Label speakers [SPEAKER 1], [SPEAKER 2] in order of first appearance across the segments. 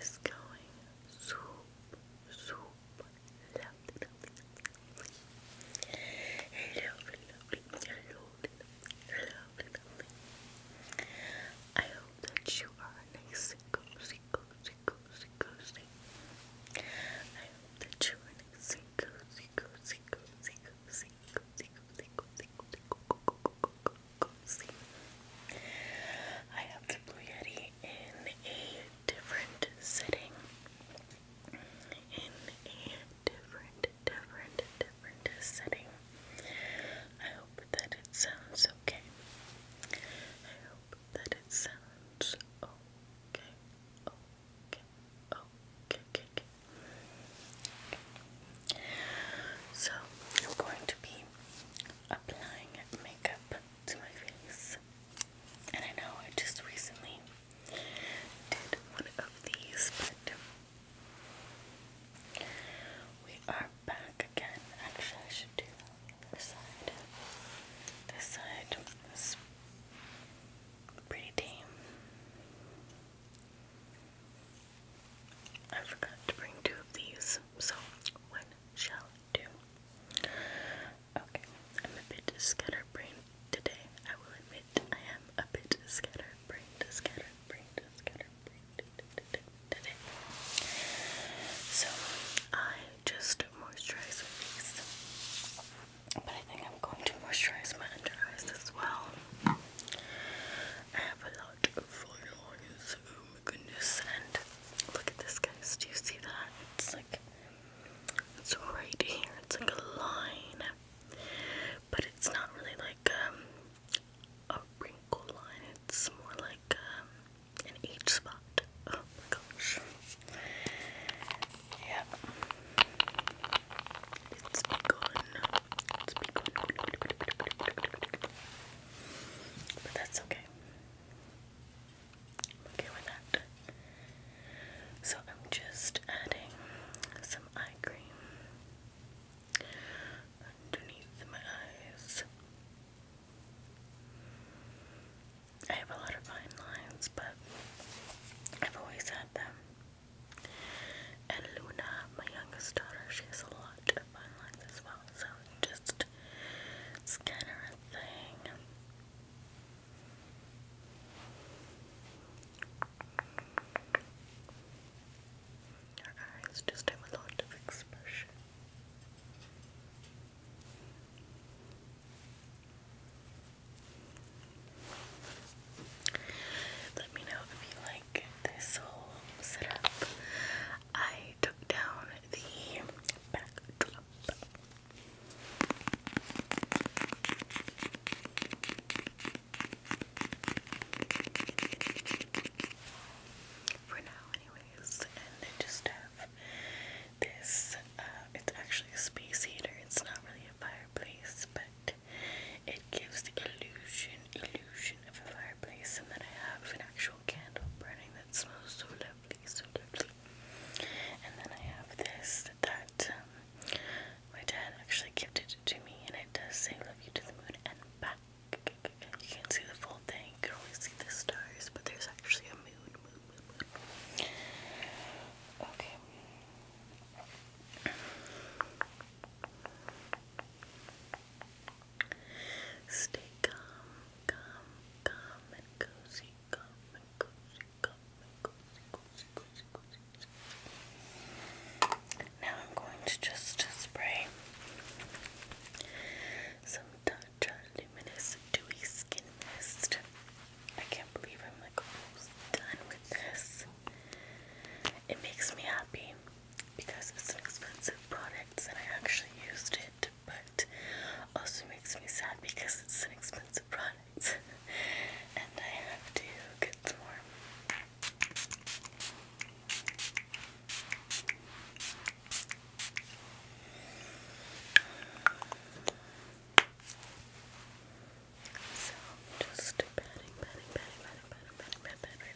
[SPEAKER 1] is going super, super lovely, lovely, lovely. Lovely, lovely, lovely, lovely, lovely. I hope that you are nice and cozy, cozy, cozy, cozy. I hope that you are nice and cozy, cozy, cozy, cozy cozy. I have the Blue Yeti in a different setting. In a different, different, different setting. I hope that it sounds okay. I hope that it sounds okay. Okay. Okay. Okay. okay. So I'm going to be applying makeup to my face. And I know I just recently did one of these, but we are back again. Actually, I should do the side. This side is pretty tame. I forgot to bring two of these, so one shall do. Okay, I'm a bit scatterbrained today. I will admit I am a bit scatterbrained, scatterbrained, scatterbrained today. So I just moisturize with these, but I think I'm going to moisturize my under eyes as well. I have a oh my goodness. look at this, guys. Do you see that? It's like it's right here. It's like a line, but it's not really like um, a wrinkle line. It's more like um, an H spot. Oh my gosh. Yeah. It's been gone. It's been gone. But that's okay. okay with that. So I'm just adding some eye cream underneath my eyes. I have a lot of fine lines, but I've always had them. And Luna, my youngest daughter, she has a lot of fun lines as well. So just it's kind thing. Her eyes just have a lot of expression. Let me know if you like this whole setup. I took down the backdrop. For now, anyways, and I just have this. Uh, it's actually a space heater. It's not really a fireplace, but it gives the illusion, illusion of a fireplace, and then I have an actual candle burning that smells so lovely, so lovely. And then I have this that um, my dad actually gifted to me, and it does say "Love you to the moon and back." You can't see the full thing; you can only see the stars, but there's actually a moon, moon, moon, moon. Okay. Stay calm, calm, calm and cozy, calm and cozy, calm and cozy, cozy, cozy, cozy, cozy. Now I'm going to just spray some Tatcha Luminous Dewy Skin Mist. I can't believe I'm like almost done with this. It makes me happy because it's an expensive product and I actually used it, but also makes me sad because it's an expensive product and I have to get more. So, just patting, patting, patting, patting, patting, patting, patting,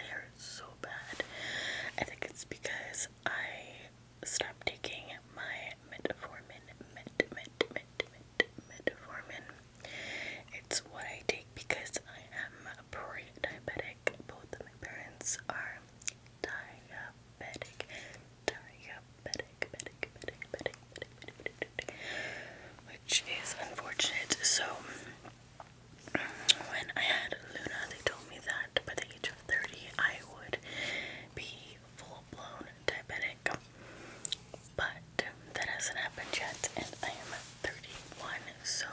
[SPEAKER 1] hair is so bad. I think it's because I stopped taking my metformin, met, met, met, met, metformin. It's what I take because I am pre-diabetic. Both of my parents are diabetic, diabetic, diabetic, diabetic, diabetic, diabetic, diabetic, diabetic, diabetic which is unfortunate. So when I had Luna, they told me that by the age of 30, I would be full blown diabetic. But that hasn't happened yet, and I am 31, so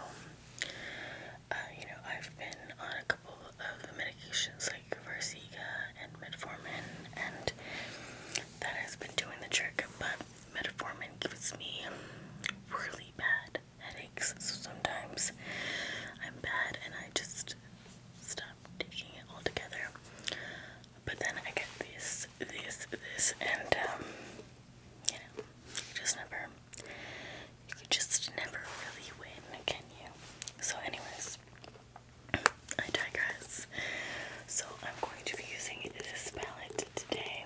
[SPEAKER 1] uh, you know, I've been on a couple of medications like Versiga and Metformin, and that has been doing the trick. But Metformin gives me really bad headaches, so sometimes I'm bad and I just stop taking it altogether. But then I get this, this, this, and um, you know, you just never, you could just never really win, can you? So, anyways, I digress. So, I'm going to be using this palette today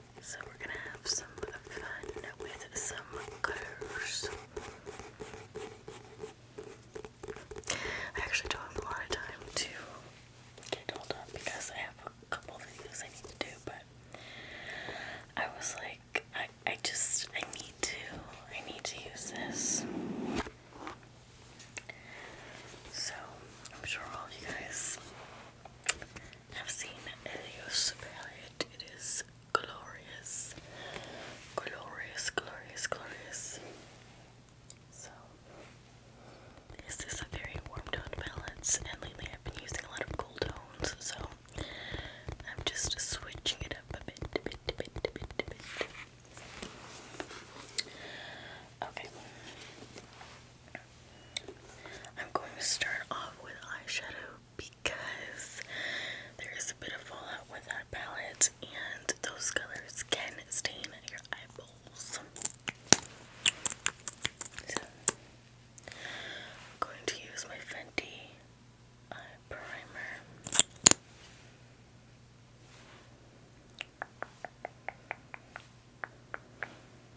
[SPEAKER 1] So we're gonna have some fun with some colors. I actually don't have a lot of time to get all done because I have a couple videos I need to do, but I was like, I, I just, I need to, I need to use this. So, I'm sure all you guys have seen Elios Palette. It is glorious, glorious, glorious, glorious. So, this is a very warm tone balance, and lately I've been using a lot of cool tones, so I'm just switching it up a bit. Okay. I'm going to start off with eyeshadow because there is a bit of fallout with that palette and those colors can stain your eyeballs. I'm going to use my Fenty eye primer.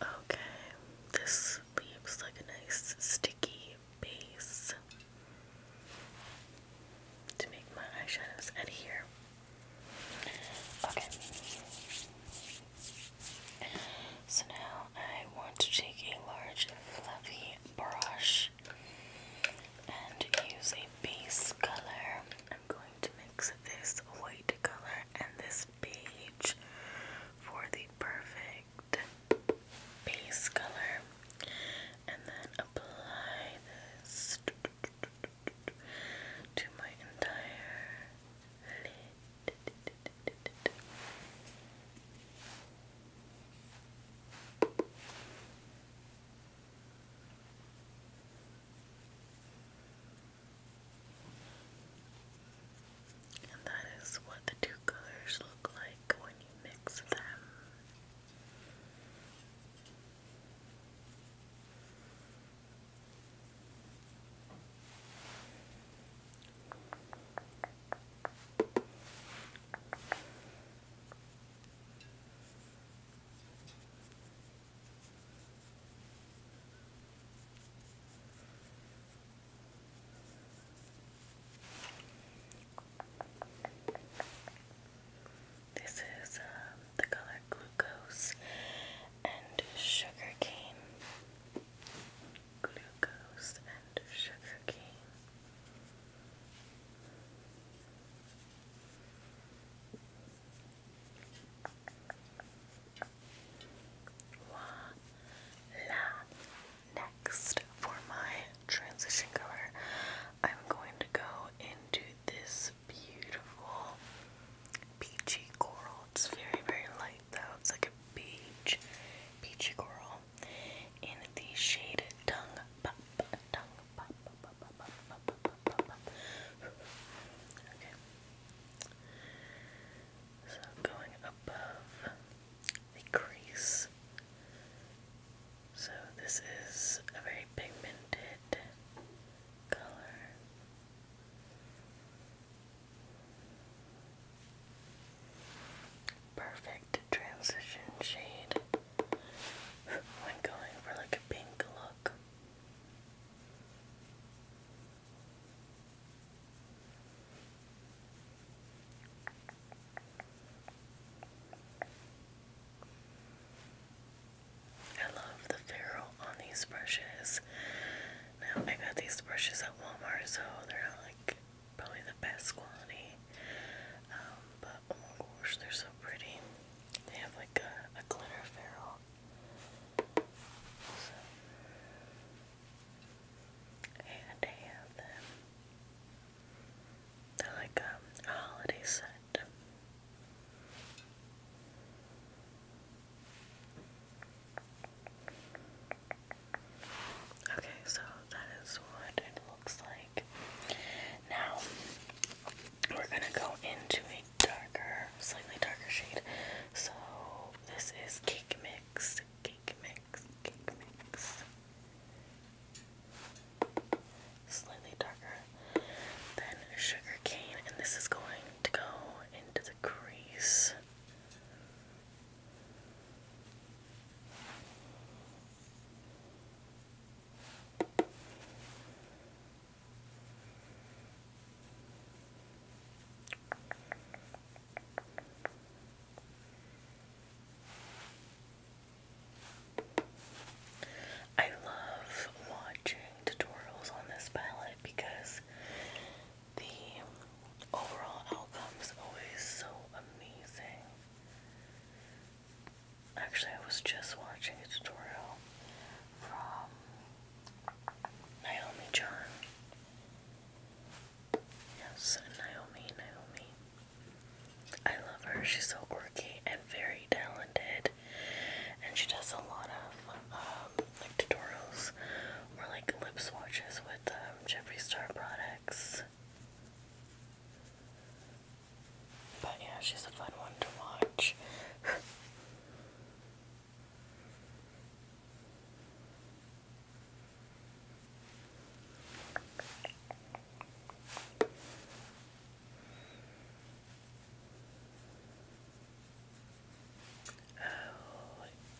[SPEAKER 1] Okay, this leaves like a nice sticky base to make my eyeshadows adhere. Okay. So now I want to take a large fluffy brush and use a base color. I'm going to mix this white color and this this page for the perfect base color and then apply this to my entire lid. And that is what the two colors look like when you mix them. This is um, the color glucose and sugar cane. Glucose and sugar cane. Voila. Next, for my transition color, I'm going to go into this beautiful peachy coral. It's very, very light though. It's like a peach, peachy coral in the shaded Tongue so going above the crease. So this is a very pigmented color. Perfect transition shade when going for like a pink look. I love the ferrule on these brushes. Now, I got these brushes at Walmart, so they're like probably the best quality. Um, but oh my gosh, they're so pretty. They have like a, a glitter ferrule and I have them. They're like um, a holiday set. Okay, so that is what it looks like. Now we're gonna go into like darker, slightly darker shade. So this is Cake Mix, Cake Mix, Cake Mix. Slightly darker than Sugar Cane, and this is going to go into the crease. I love watching tutorials on this palette because the overall outcome is always so amazing. Actually, I was just watching a tutorial from Naomi John. Yes, Naomi, Naomi. I love her. She's so quirky and very talented. And she does a lot of um, like tutorials or like lip swatches with um, Jeffree Star products. But yeah, she's a fun one to watch.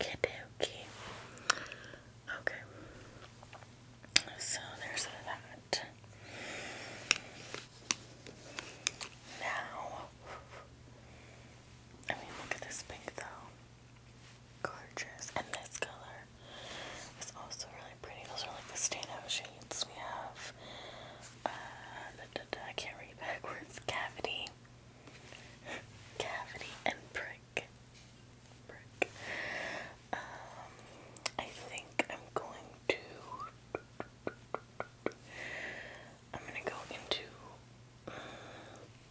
[SPEAKER 1] Okay, okay. Okay. So there's that. Now I mean, look at this pink though. Gorgeous. And this color is also really pretty. Those are like the standout shades. We have, uh, I can't read backwards. Cavity, cavity, and brick. Brick. Um, I think I'm going to. I'm gonna go into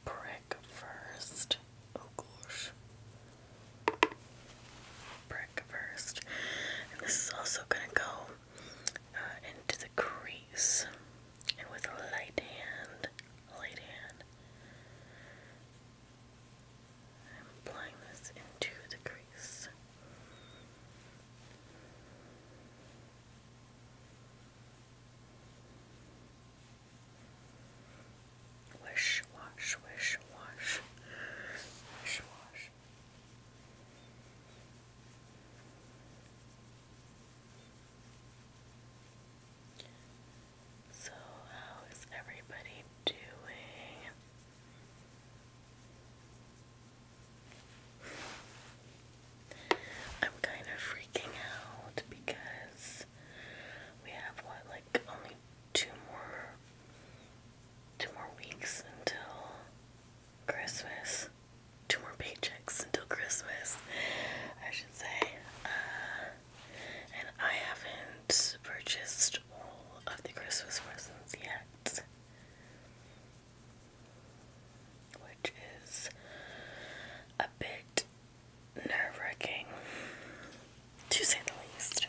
[SPEAKER 1] brick first. Oh gosh. Brick first. And this is also gonna go uh, into the crease. with a light hand, light hand, I'm applying this into the crease.
[SPEAKER 2] Wish, wash, wish, wash. Wish, wash.
[SPEAKER 1] So, how is everybody doing? I'm kind of freaking out because we have what, like only two more two more weeks until Christmas. Two more paychecks until Christmas, I should say. Uh, and I haven't purchased all of the Christmas presents yet which is a bit nerve wracking, to say the least.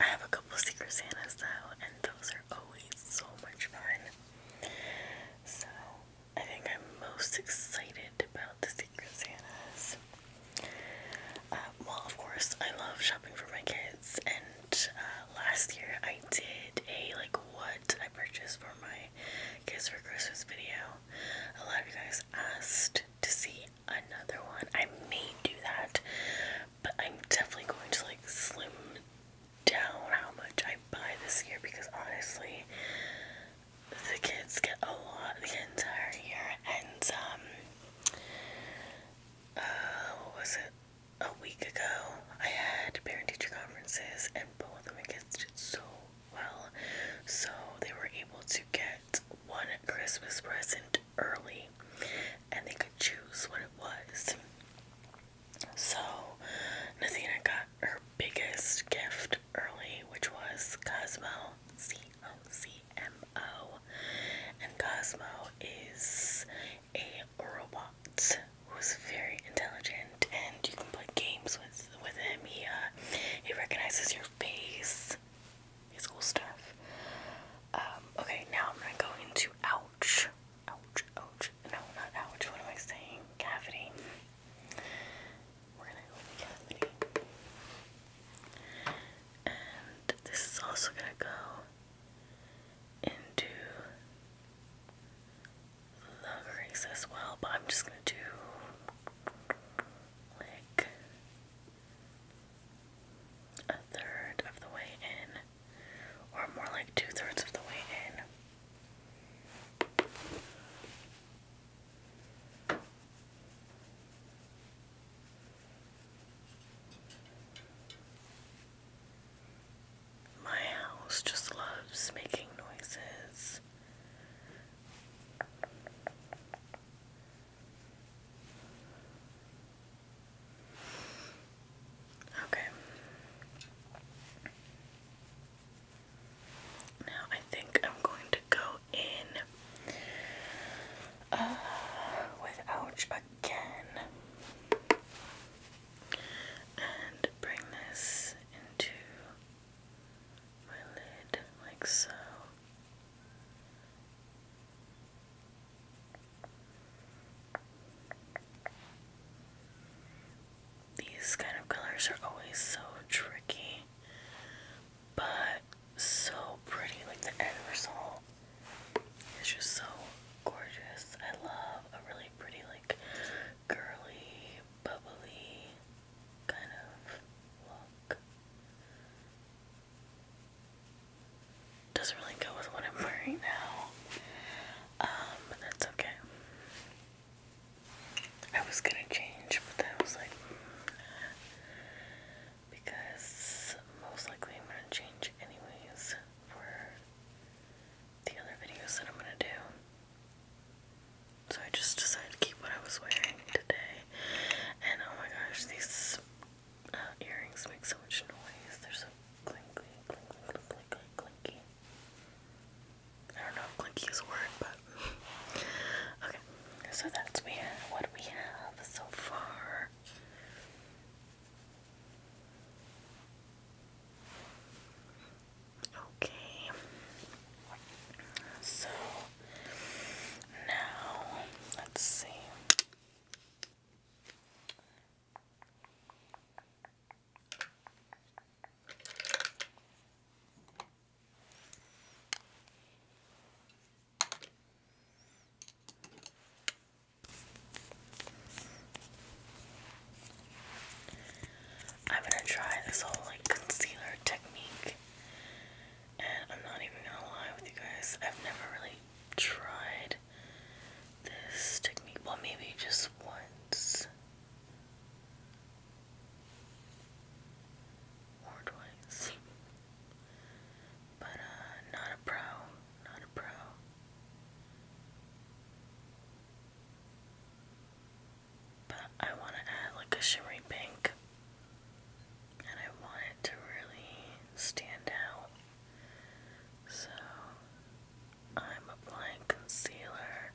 [SPEAKER 1] I have a couple Secret Santas though, and those are always so much fun. So, I think I'm most excited about the Secret Santas. Uh, well, of course, I love shopping for my kids and uh, last year I did a like what I purchased for my kids for Christmas video. A lot of you guys asked to see another one. I may do that, but I'm definitely going to like slim down how much I buy this year because honestly the kids get a lot the entire year and um uh, what was it? a week ago, I had parent teacher conferences, and both of them kids did so well. So they were able to get one Christmas present early, and they could choose what it was. So Nathina got her biggest gift early, which was Cosmo C O C M O, and Cosmo is a robot who's very intelligent, and you can play games with with him. He uh, he recognizes your face. It's cool stuff. Um, okay, now I'm gonna go into ouch, ouch, ouch. No, not ouch. What am I saying? Cavity. We're gonna go cavity, and this is also gonna go into the crease as well, but I'm just gonna do like a third of the way in, or more like two thirds of the way in. My house just loves making noises. Okay. Now I think I'm going to go in uh, ouch again and bring this into my lid like so. These kind of colors are always so tricky, but so pretty, like the end result it's just so gorgeous. I love a really pretty, like, girly, bubbly kind of look. Doesn't really go with what I'm wearing now. but um, that's okay. I was gonna change, but then I was like, mm, because most likely I'm gonna change anyways for the other videos that I'm gonna do. So I just decided to keep what I was wearing today. And oh my gosh, these uh, earrings make so much noise. They're so clinky, clinky, clinky, clinky, clinky. I don't know if clinky is a word, but okay. So that's we have what we have so far. Okay. So now let's see. I'm gonna try this whole like concealer technique, and I'm not even gonna lie with you guys, I've never really tried this technique. Well, maybe just once or twice, but uh, not a pro, not a pro. But I want to add like a shimmery pink, and I want it to really stand out. So I'm applying concealer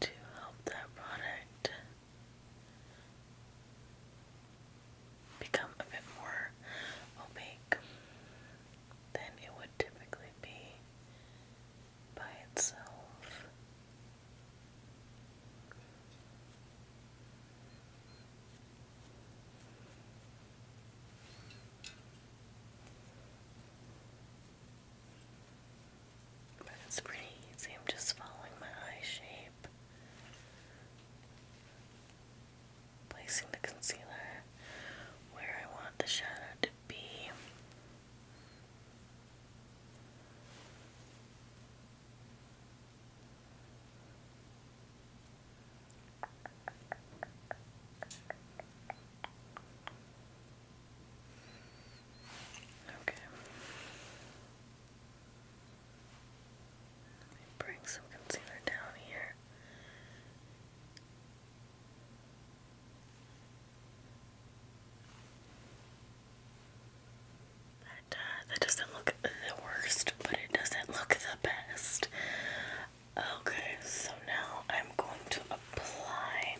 [SPEAKER 1] to help that product become a bit more opaque than it would typically be by itself. But it's pretty easy. I'm just following my eye shape Placing the concealer where I want the shadow to be. Okay. Let me bring some concealer down here. That, uh, that doesn't look the worst, but it doesn't look the best. Okay, so now I'm going to apply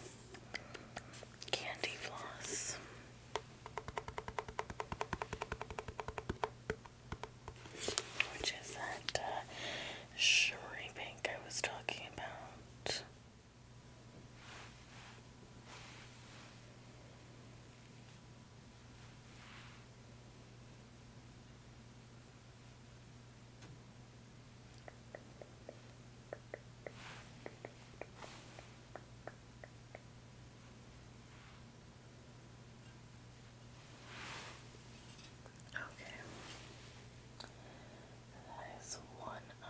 [SPEAKER 1] candy floss. Which is that uh, shimmery I was talking about. Okay. That is one eye.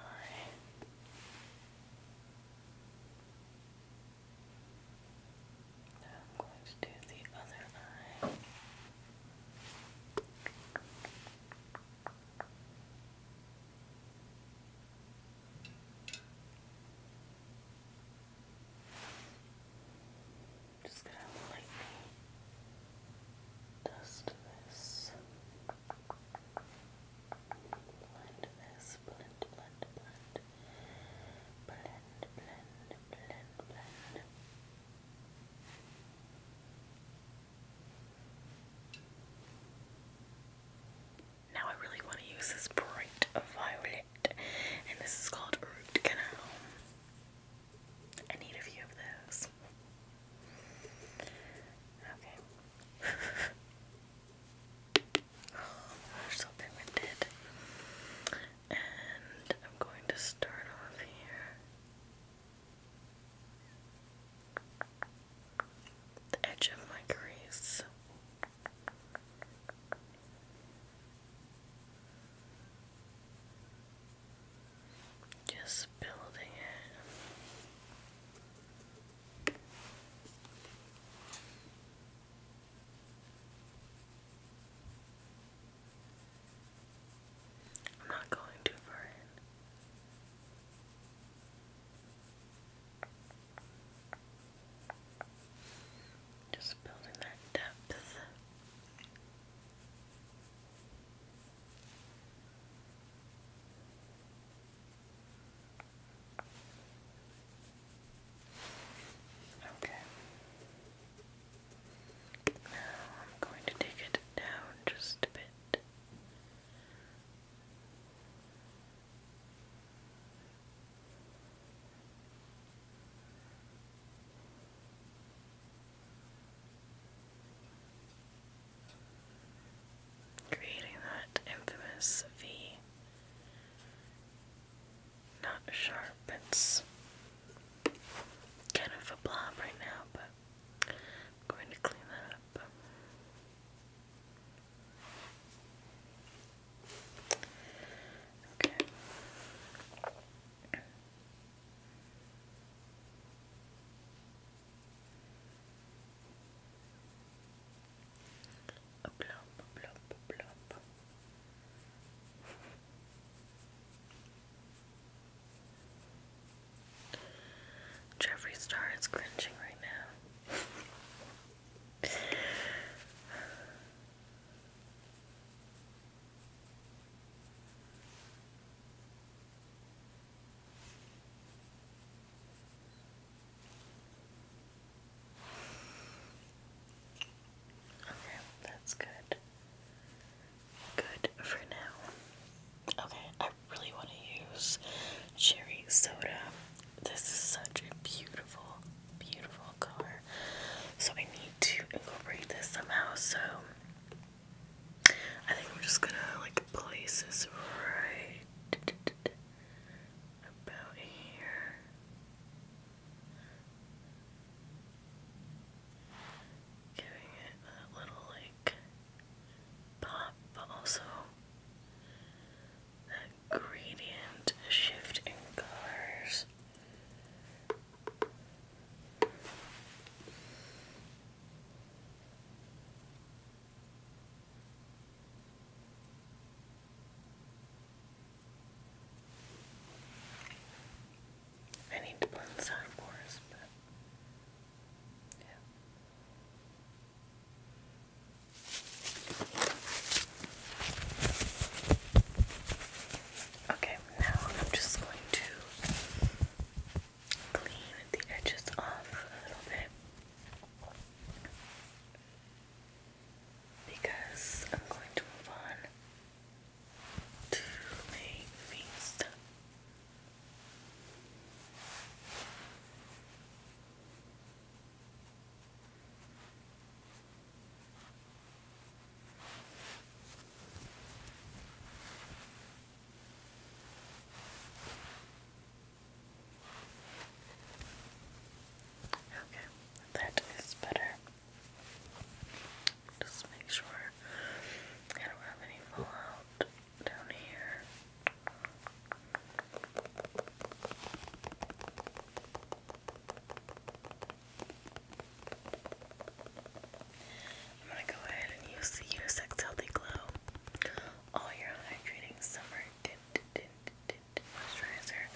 [SPEAKER 1] Now I'm going to do the other eye. Just gonna lightly dust this, blend this, blend, blend, blend, blend, blend, blend, blend. Now I really want to use this bright violet, and this is called Root I need a few of those. Okay. oh, they're so pigmented. And I'm going to start off here. The edge of my crease. Just building it. I'm not going too far in. Just building that depth. Okay. Now I'm going to take it down just a bit. Creating that infamous V not sharp, it's kind of a blob right now, but going to clean that up. Okay. A plump, plump, plump. Jeffree Star is cringing right now. Okay, that's good. Good for now. Okay, I really want to use cherry soda this is such a beautiful, beautiful color. So I need to incorporate this somehow. So I think we're just gonna like place this right about here. Giving it that little like pop, also that gradient shift in colors. I need to blend the sound but yeah. Okay, now I'm just going to clean the edges off a little bit because I'm going to move on to my face. Okay. Okay, that is better. Just make sure I don't have any fallout down here. I'm gonna go ahead and use the Unisex Healthy Glow All Your Hydrating Summer Tint Moisturizer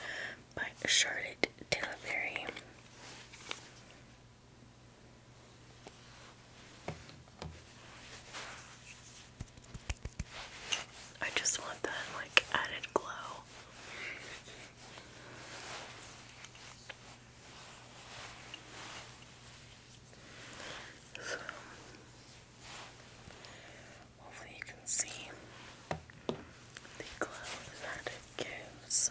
[SPEAKER 1] by Charlotte Tilbury. I just want that like added glow. So hopefully you can see the glow that it gives.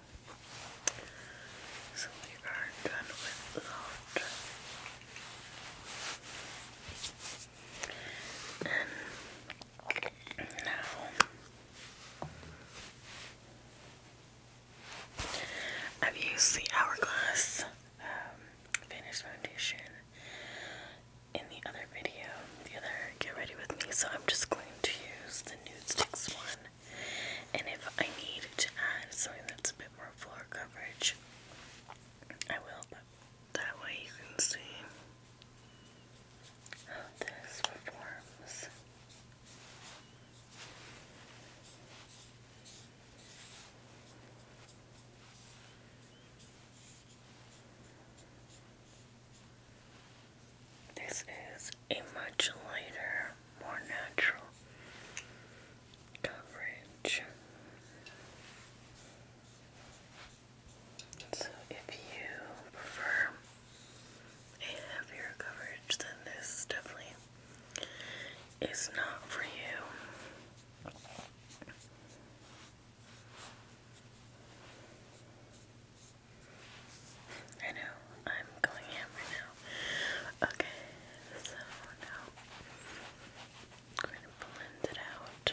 [SPEAKER 2] so we are done with that. And now
[SPEAKER 1] I've used the Hourglass Finish um, Foundation in the other video, the other Get Ready With Me, so I'm just going to use the Nude Sticks one and if I need to add something that's a bit more floor coverage, I will, but that way you can see how this performs. This is a much lighter, more natural coverage. So, if you prefer a heavier coverage, then this definitely is not for you. I know I'm going hammer now. Okay, so now I'm going to blend it out.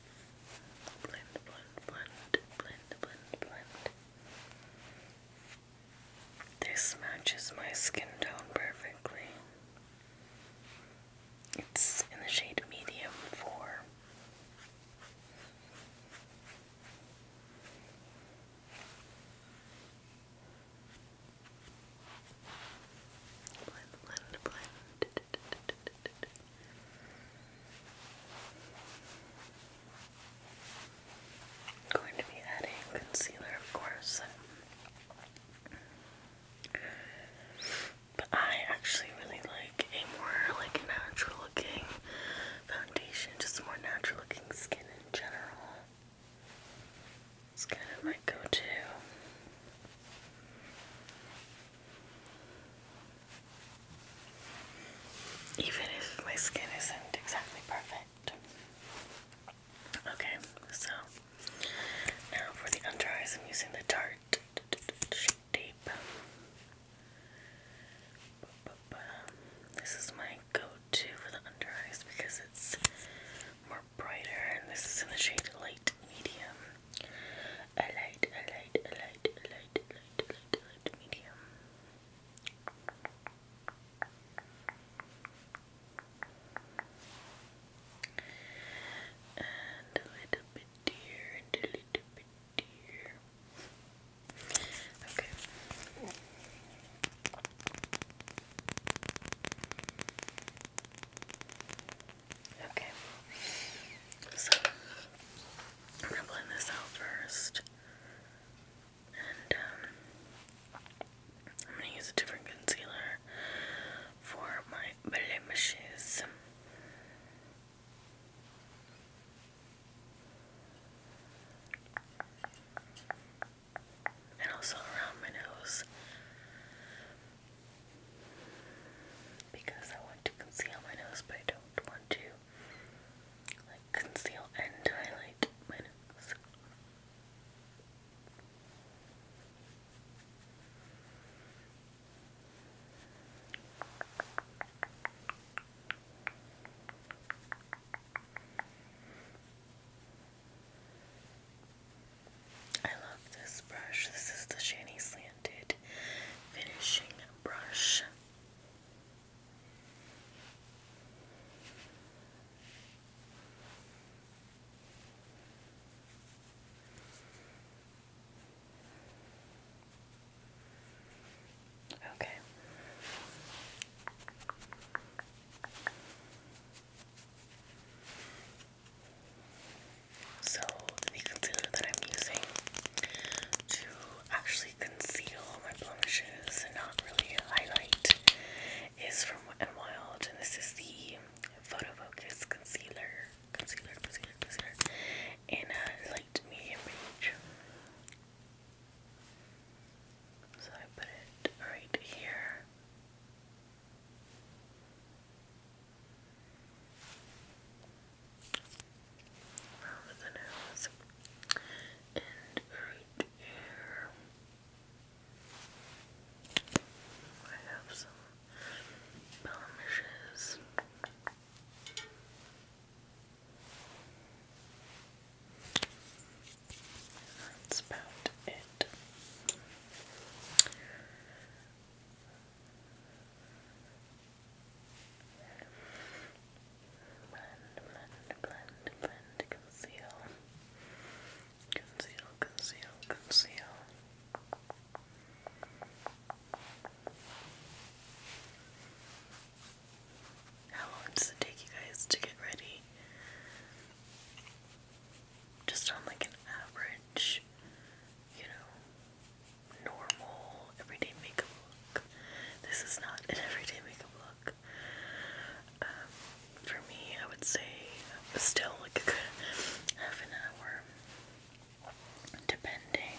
[SPEAKER 1] This matches my skin tone perfectly. It's in the shade medium 4. I'm going to be adding concealer, of course. But I actually really like a more like natural looking foundation, just more natural looking skin in general. It's kind of my go-to. Even if my skin isn't exactly perfect. Okay, so now for the under eyes, I'm using the Tarte Shape Tape. This is my go to for the under eyes because it's more brighter, and this is in the shade light medium. light, light, light, light, light, light, to medium. And a little bit here, and a little bit here. Okay. Okay. So I'm gonna blend this out first. And um, I'm gonna use a different concealer for my blemishes. And also around my nose. Because I want to conceal my nose, but I don't want to like conceal and highlight I love this brush. This is the Shani Slanted Finishing Brush. Okay. So the concealer that I'm using to actually conceal my blemishes and not really highlight is from Wet n Wild, and this is the Photo Focus Concealer, Concealer, Concealer, Concealer in a light medium range. So I put it right here around the I have some blemishes that's about it Blend, blend, blend, blend, conceal. Conceal, conceal, conceal. How long does it take you guys to get ready? Just on like an average, you know, normal everyday makeup look. This is not an everyday makeup look. Um, for me, I would say still like a good half an hour, depending.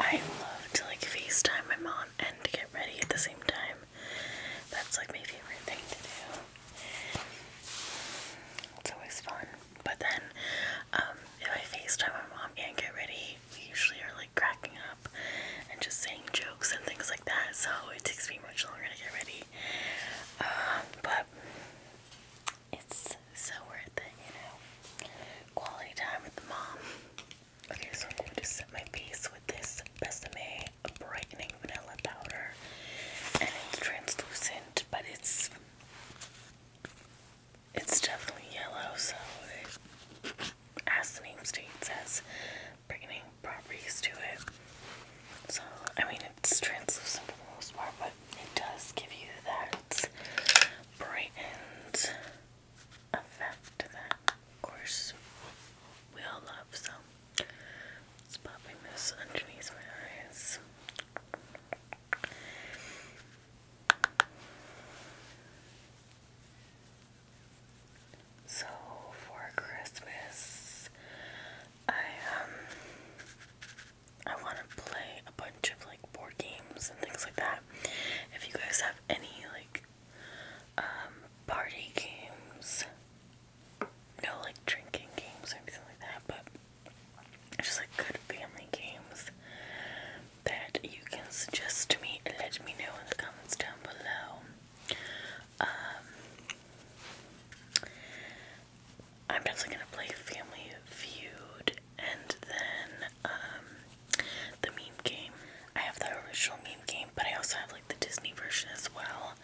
[SPEAKER 1] I love to like FaceTime my mom and to get ready at the same time. That's like my favorite thing to do. It's always fun. But then um, if I FaceTime my mom and get ready, we usually are like cracking up and just saying jokes and things like that, so it takes me much longer to get ready. Um, but it's so worth it, you know. Quality time with the mom. Okay, so I'm going to set my face with this Besame brightening vanilla powder, and it's translucent, but it's it's definitely yellow, so it, as the name states, bringing beginning properties to it. So, I mean, it's translucent for the most part, but it does give you that brightened effect that, of course, we all love. So, just popping this underneath my eyes. So for Christmas, I um I want to play a bunch of like board games and things like that. If you guys have any like um, party games, no like drinking games or anything like that, but just like good family games that you can suggest to me let me know in the comments down below. Um, I'm definitely gonna play Family Feud and then um, the meme game. I have the original meme game, but I also have like the Disney version as well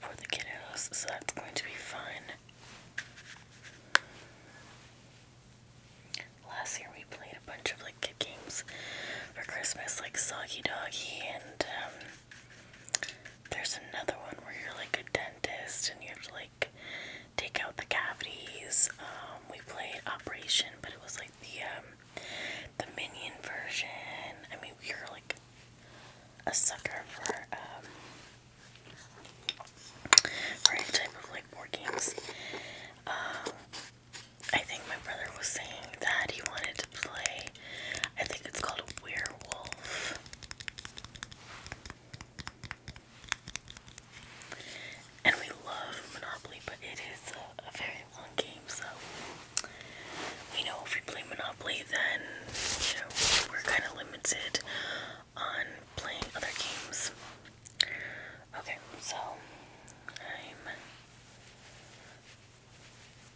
[SPEAKER 1] for the kiddos, so that's going to be fun. Last year we played a bunch of like kid games for Christmas, like Socky Doggy, and um, there's another one where you're like a dentist and you have to like take out the cavities. Um, we played Operation, but it was like the um, the Minion version. I mean, we were like a sucker for or any type of like board games. Uh, I think my brother was saying that he wanted to play. I think it's called Werewolf. And we love Monopoly, but it is a, a very long game, so we know if we play Monopoly, then you know we're kind of limited on playing other games. Okay, so I'm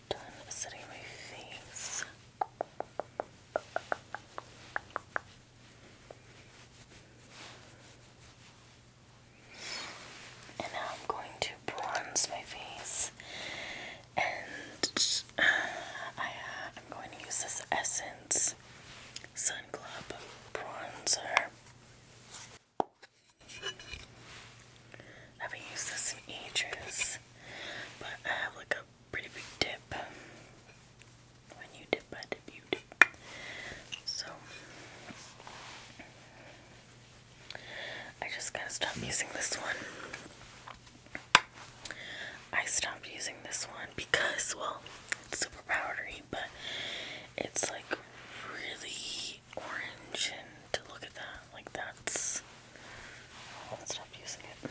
[SPEAKER 1] done setting my face. And now I'm going to bronze my face, and I, am uh, going to use this essence Sun Club bronzer. haven't used this in ages, but I have like a pretty big dip. When you dip, I dip, So, I just gotta stop using this one. I stopped using this one because, well, it's super powdery, but it's like really orange, and to look at that, like that's. I'll stop using it.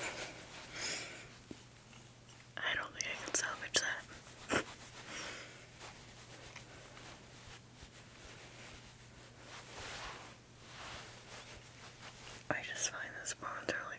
[SPEAKER 1] I don't think I can salvage that. I just find this bronzer like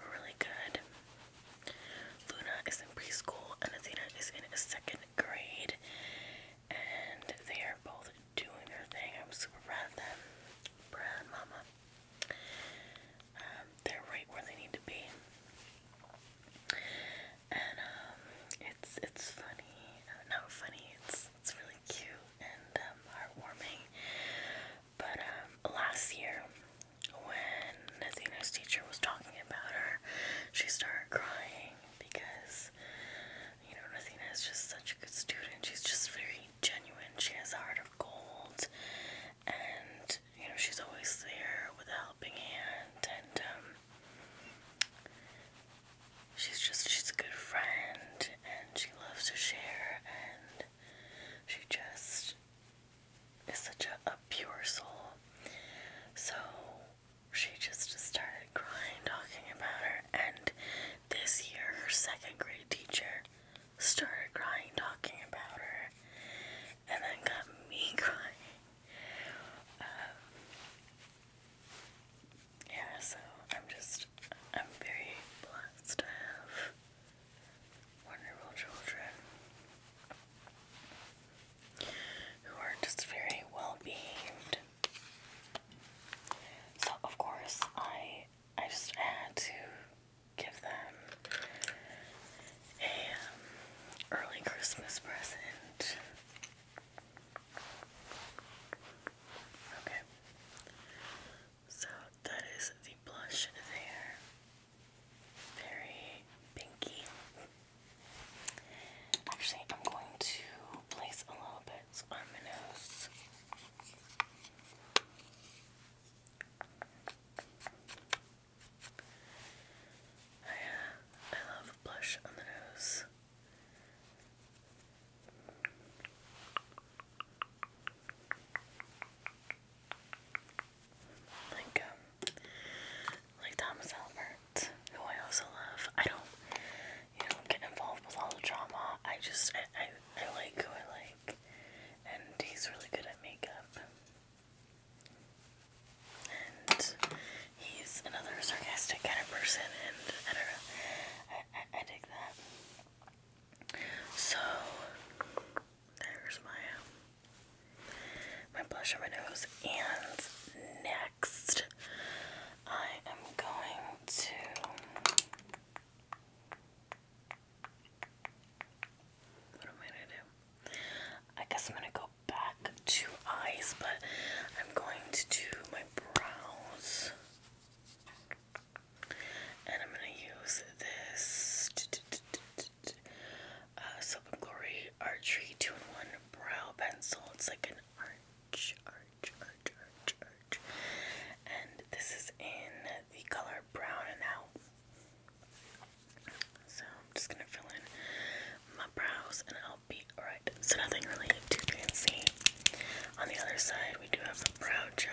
[SPEAKER 1] we really good. Luna is in preschool and Athena is in second grade. And they are both doing their thing. I'm super proud of them. Proud mama. Um, they're right where they need to be. And um, it's it's funny. not funny. It's it's really cute and um, heartwarming. But um, last year, when Nathaniel's teacher was talking about her, she started crying because, you know, Nathina is just such a good student. She's just very genuine. She has a heart of gold. And, you know, she's always there with a helping hand. And, um, she's just, she's a good friend. And she loves to share. And she just is such a, pure soul. So she just started crying talking about her, and this year her second grade teacher started crying talking about her, and then got me crying. Um, yeah, so I'm just, I'm very blessed to have wonderful children who are just very well behaved. So of course I I just had to give them a um, early Christmas present. Okay. So that is the blush there. Very pinky. Actually, I'm going to place a little bit on my nose. I, oh I love blush on the nose. Like um, like Thomas Albert, who I also love. I don't you know get involved with all the drama. I just I, I like who I like and he's really good at makeup. And he's another sarcastic kind of person and I don't know. I I, I dig that. So there's my um, my blush on my nose, and next I am going to. What am I gonna do? I guess I'm gonna go back to eyes, but I'm going to do my brows. And I'm going to use this uh, Soap and Glory Archery 2 in 1 Brow Pencil. It's like an arch, arch, arch, arch, arch. And this is in the color brown and So I'm just going to fill in my brows and I'll be alright. So nothing really too fancy. On the other side, we do have the brow gel.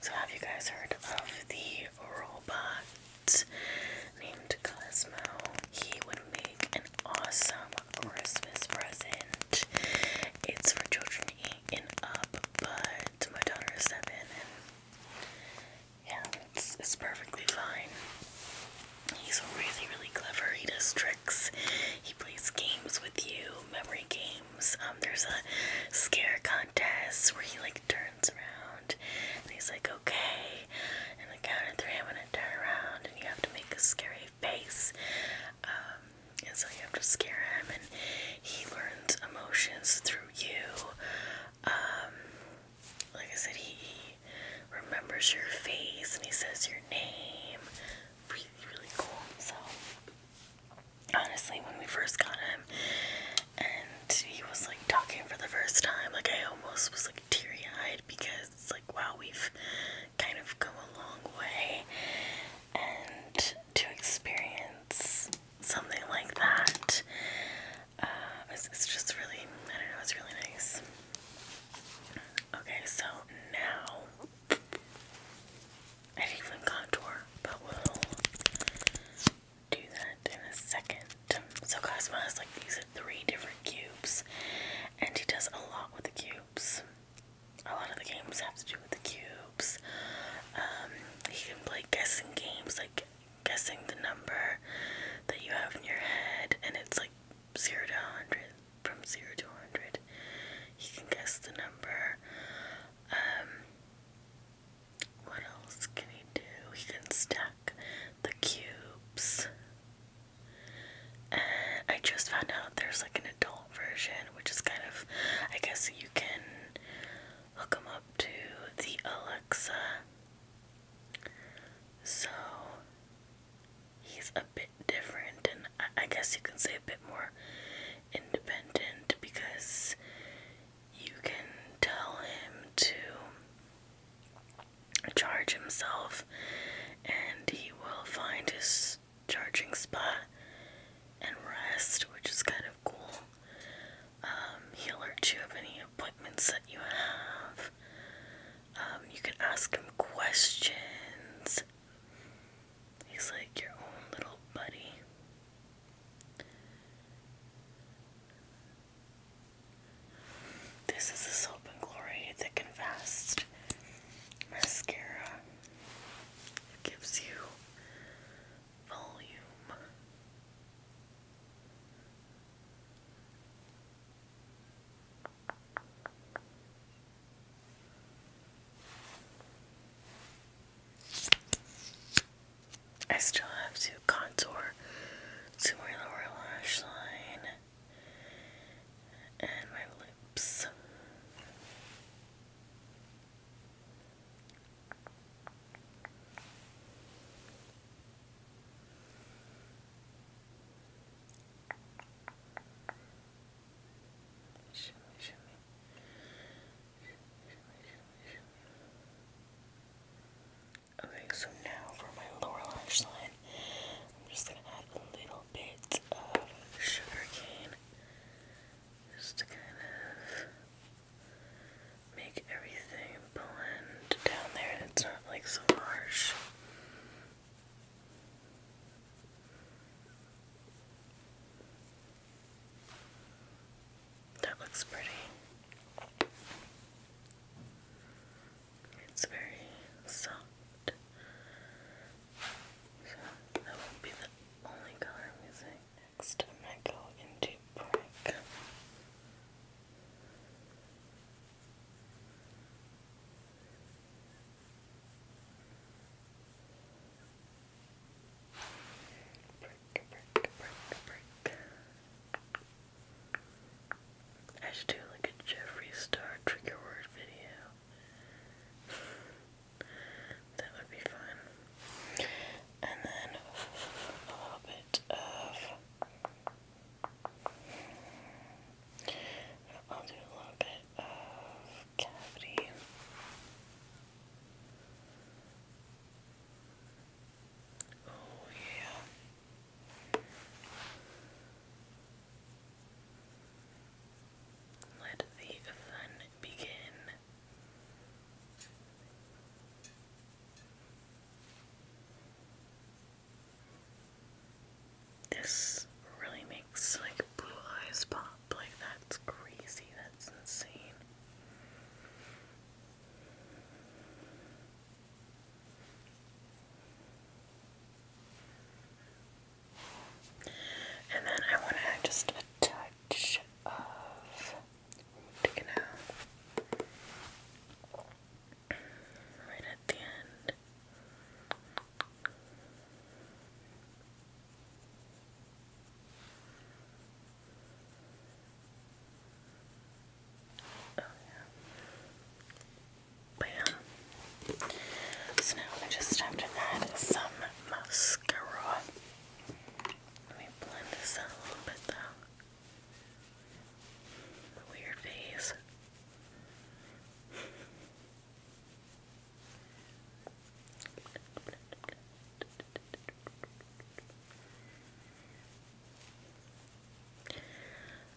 [SPEAKER 1] So, have you guys heard of the robot named Cosmo? He would make an awesome Christmas present. It's for children eight and up, but my daughter is seven, and yeah, it's, it's perfectly fine. He's really, really clever. He does tricks. He plays games with you memory games. Um, there's a scare contest where he like turns around and he's like, okay, and the count of three, I'm gonna turn around, and you have to make a scary face. Um, and so you have to scare him, and he learns emotions through you. Um, like I said, he remembers your face and he says your name really, really cool. So, honestly, when we first got him and he was like talking for the first time, like I almost was like teary eyed because it's like, wow, we've kind of come a long way. And to experience something like that, uh, it's, it's just really, I don't know, it's really nice. Okay, so now I didn't even contour, but we'll do that in a second. So Cosmo has like these three different cubes, and he does a lot with the cubes. A lot of the games have to do with the cubes. Um, he can play guessing games, like guessing the number that you have in your head, and it's like zero to hundred from 0 to 100. You can guess the number. Um, what else can he do? He can stack the cubes. And uh, I just found out there's like an adult version, which is kind of, I guess you can hook them up to the Alexa. So he's a bit different, and I, guess you can say a bit more independent because you can tell him to charge himself and he will find his charging spot and rest, which is kind of cool. Um, he'll alert you of any appointments that you have. Um, you can ask him questions. He's like your own little buddy. This is the Soap and Glory Thick and Fast Mascara. gives you volume. I still have to contour to my lower lash line and my lips. Okay, so now for my lower lash line, I'm just gonna add a little bit of sugar cane just to kind of make everything blend down there and it's not like so harsh. That looks pretty. It's very soft. So that will be the only color I'm using. Next, i go into brick. I should do like a Jeffree Star trigger word video. that would be fun. And then a little bit of. I'll do a little bit of cavity. Oh, yeah. Let the fun begin. This really makes like blue eyes pop. Like that's crazy. That's insane. And then I want to add just a touch of right at the end it. Oh, yeah. Bam. So now I just have to add some mascara. Let me blend this out a little bit though. Weird face.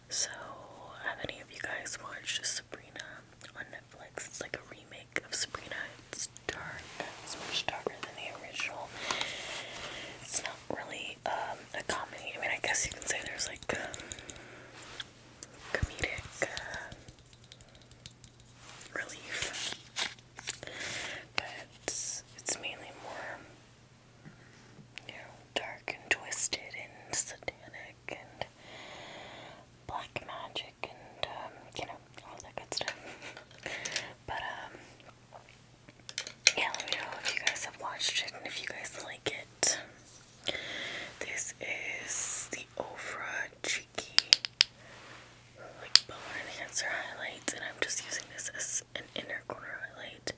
[SPEAKER 1] So, have any of you guys watched Sabrina on Netflix? It's like a remake of Sabrina. It's dark. It's much darker than the original. It's not really um, a comedy. I mean, I guess you can say there's like comedic uh, relief. But it's, mainly more, you know, dark and twisted and satanic and black magic and, um, you know, all that good stuff. But, um, yeah, let me know if you guys have watched it and if you guys like it. This is the Ofra Cheeky like Bow Enhancer Highlights, and I'm just using this as an inner corner highlight.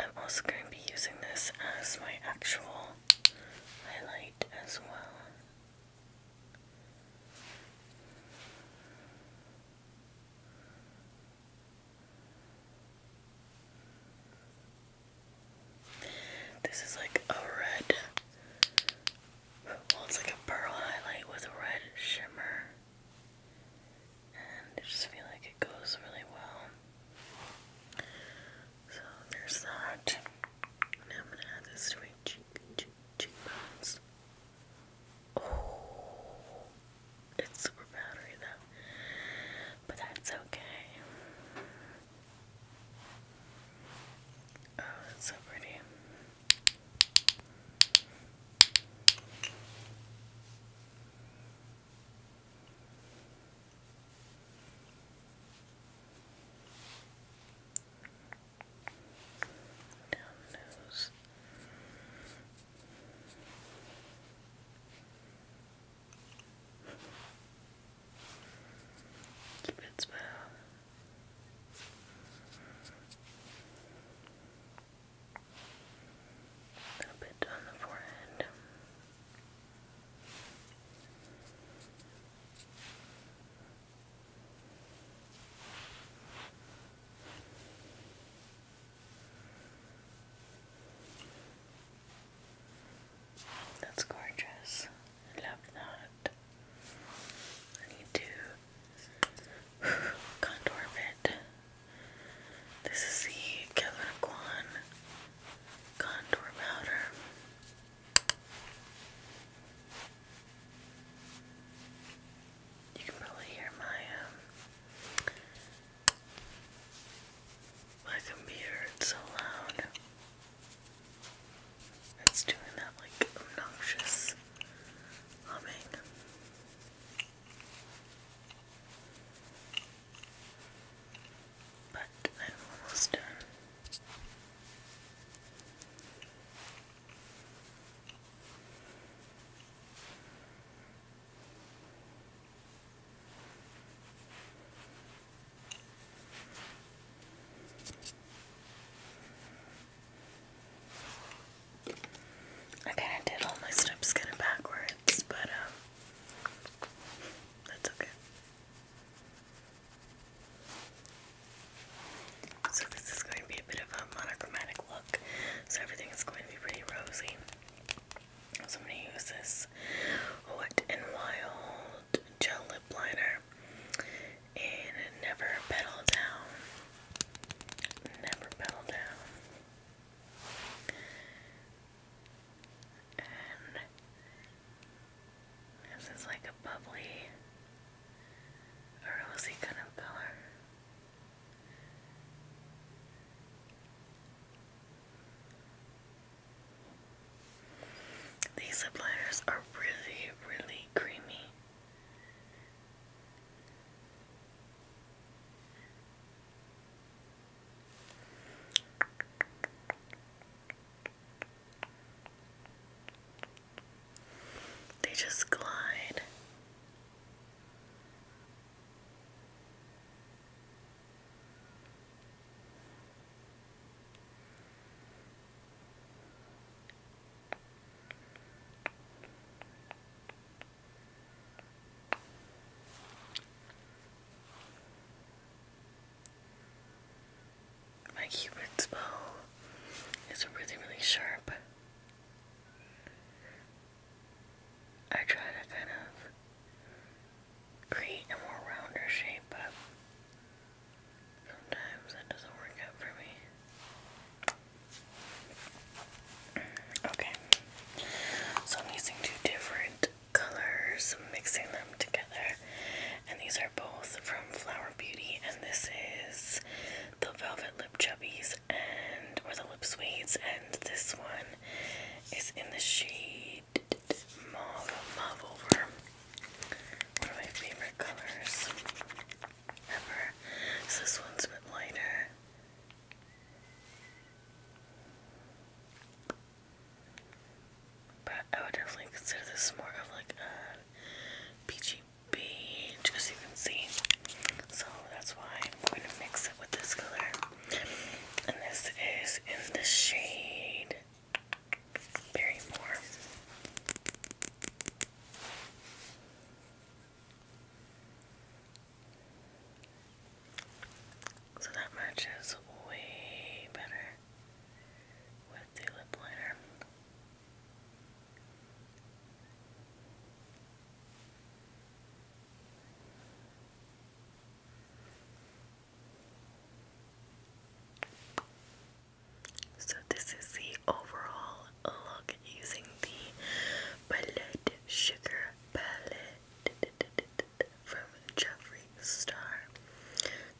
[SPEAKER 1] I'm also going to be using this as my actual highlight as well. This is like a red, well, it's like a pearl highlight with a red shimmer. And I just feel like it goes really well. So there's that. And I'm gonna add this to my cheek, cheekbones. Oh, it's super powdery though, but that's okay. Oh, that's so pretty.
[SPEAKER 2] Down nose.
[SPEAKER 1] A bit on the forehead. That's gorgeous. I love that. I need to contour a This is the Kevin Kwan contour powder. You can probably hear my um my computer, it's so loud. It's doing that like obnoxious humming. But I'm almost done. I did all my steps kind of backwards, but um, that's okay. So this is going to be a bit of a monochromatic look, so everything is going to be pretty rosy. So I'm going to use this Wet and Wild gel lip liner and never pedal down. Never pedal down. And this is like a bubbly, a rosy kind of color. These lip liners are really, really creamy. They just glide. My Cupid's bow is really, really sharp. I try to kind of create a more rounder shape, but sometimes that doesn't work out for me. Okay, so I'm using two different colors, mixing them together, and these are both from Flower Beauty, and this is the Velvet Lip Chubbies and or the Lip Suites, and this one is in the shade mauve, mauve over. One of my favorite colors ever. this one's a bit lighter. But I would definitely consider this more of like a peachy just so you can see. So that's why I'm going to mix it with this color. And this is in the shade Barrymore. So that matches way better with the lip liner. So this is the overall look using the Palette Sugar Palette from Jeffree Star.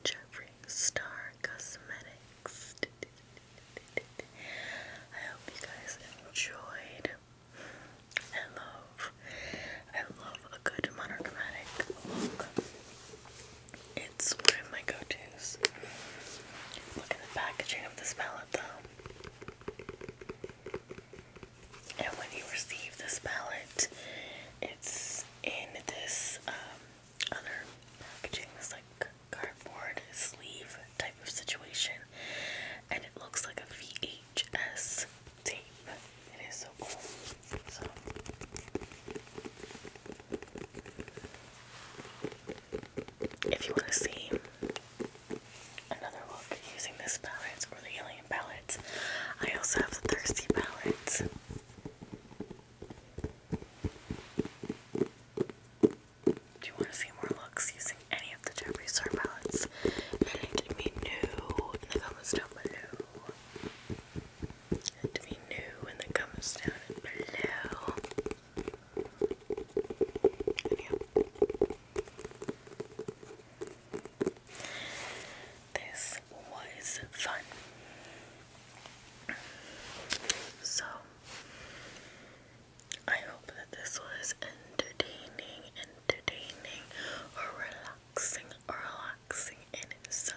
[SPEAKER 1] Jeffree Star Cosmetics. I hope you guys enjoyed. I love, I love a good monochromatic look. It's one of my go-tos. Look at the packaging of this palette though. And when you receive this palette, it's in this um, other packaging, this like cardboard sleeve type of situation. And it looks like a VHS it is so cool. if you want to see another look using this palette or the alien palette, I also have the thirsty palette. Do you want to see more looks using any of the Jeffree Star palettes? Let me know in the comments down below and we knew when that comes down below. This was fun. So I hope that this was entertaining, entertaining, or relaxing, or relaxing in some